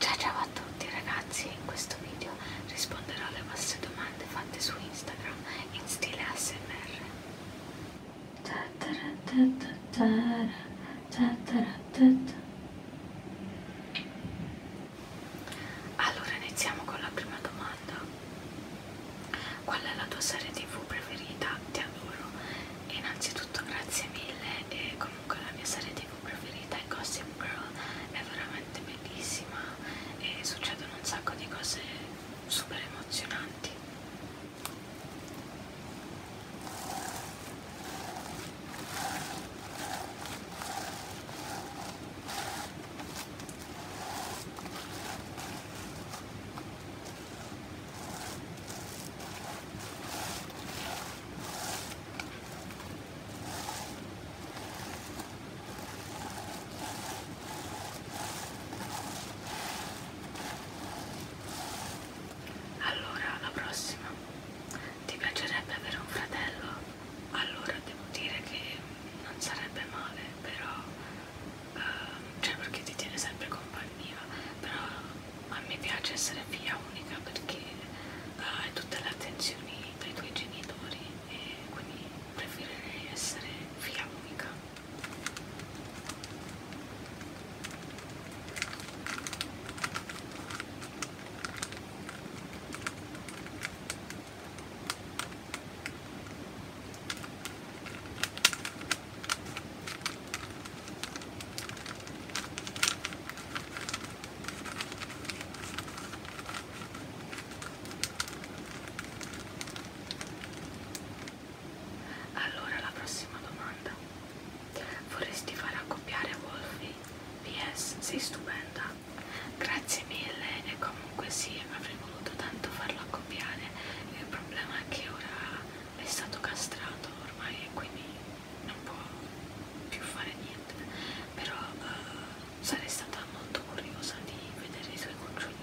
Ciao ciao a tutti ragazzi, in questo video risponderò alle vostre domande fatte su Instagram in stile ASMR. Allora iniziamo con la prima domanda. Qual è la tua serie tv preferita? Ti adoro. Innanzitutto grazie mille e come comunque la mia serie tv preferita è Gossip Girl è veramente bellissima e succedono un sacco di cose super emozionanti allora, la prossima. Ti piacerebbe avere un fratello? Allora devo dire che non sarebbe male, però... Uh, cioè perché ti tiene sempre compagnia mia però a me piace essere figlia unica perché eh, hai uh, tutte le attenzioni dai tuoi genitori e quindi preferirei essere figlia unica allora la prossima domanda. Vorresti far accoppiare Wolfie? PS, sei stupenda. Grazie mille e comunque sì, avrei voluto tanto farlo accoppiare. Il problema è che ora è stato castrato ormai e quindi non può più fare niente però uh, sarei stata molto curiosa di vedere i suoi cucciolini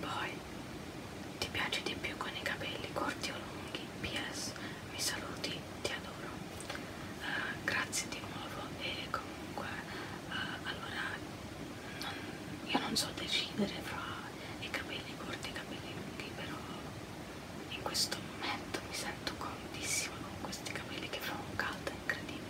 Poi, ti piace di più con i capelli corti o lunghi? PS, mi saluti, ti adoro. Uh, grazie di nuovo e comunque, uh, allora, non, io non so decidere fra i capelli corti e i capelli lunghi, però in questo momento mi sento comodissima con questi capelli che fa un caldo incredibile.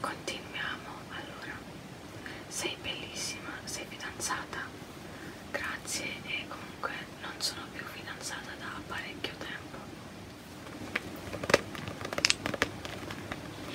Continuiamo allora. Sei bellissima, sei fidanzata? Grazie e comunque non sono più fidanzata da parecchio tempo.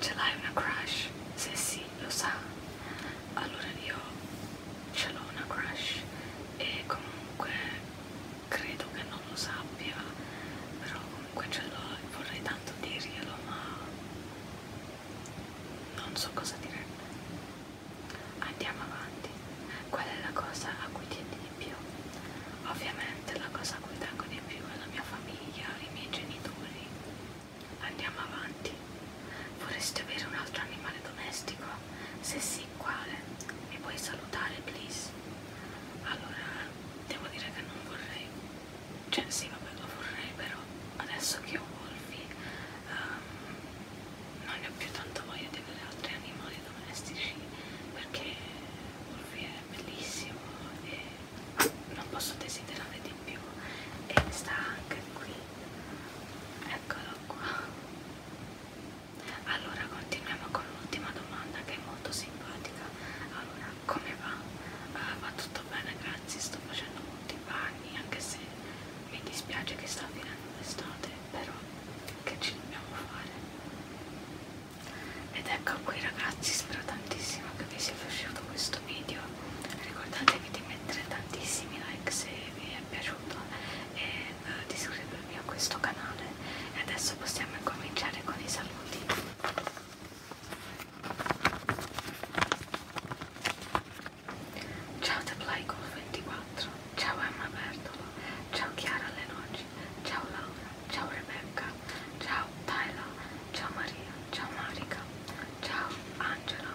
ce l'hai una crush? Se sì, lo sa. Allora io ce l'ho una crush e comunque credo che non lo sappia, però comunque ce l'ho e vorrei tanto dirglielo, ma non so cosa direbbe. Andiamo avanti. Qual è la cosa a cui tieni di più? Ovviamente la cosa a cui tengo di più è la mia famiglia, i miei genitori, Andiamo avanti. Vorresti avere un altro animale domestico? Se sì, quale? Mi puoi salutare, please? Allora, devo dire che non vorrei. Cioè, sì, vabbè, lo vorrei, però adesso che ho Wolfie, um, non ne ho più tanto voglia di avere altri animali domestici perché Wolfie è bellissimo e non posso desiderare di più e sta anche qui eccolo qua allora continuiamo con l'ultima domanda che è molto simpatica allora come va? Uh, va tutto bene grazie sto facendo molti bagni anche se mi dispiace che sta finendo l'estate però che ci dobbiamo fare ed ecco qui ragazzi spero tantissimo che vi sia piaciuto questo video ricordatevi di mettere tantissimi like se vi è piaciuto e eh, di iscrivervi a questo canale e adesso possiamo incominciare con i saluti ciao ThePlayGolf24 ciao Emma Bertolo ciao Chiara Lenoci ciao Laura ciao Rebecca, ciao Tyla, ciao Maria, ciao Marica, ciao Angela,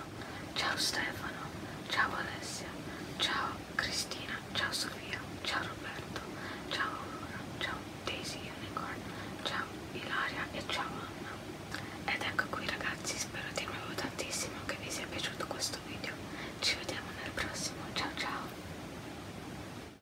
ciao Stefano, ciao Alessia, ciao Cristina, ciao Sofia, ciao Roberto, ciao Aurora, ciao Daisy Unicorn, ciao Ilaria e ciao Anna. Ed ecco qui ragazzi, spero di nuovo tantissimo che vi sia piaciuto questo video. Ci vediamo nel prossimo, ciao ciao!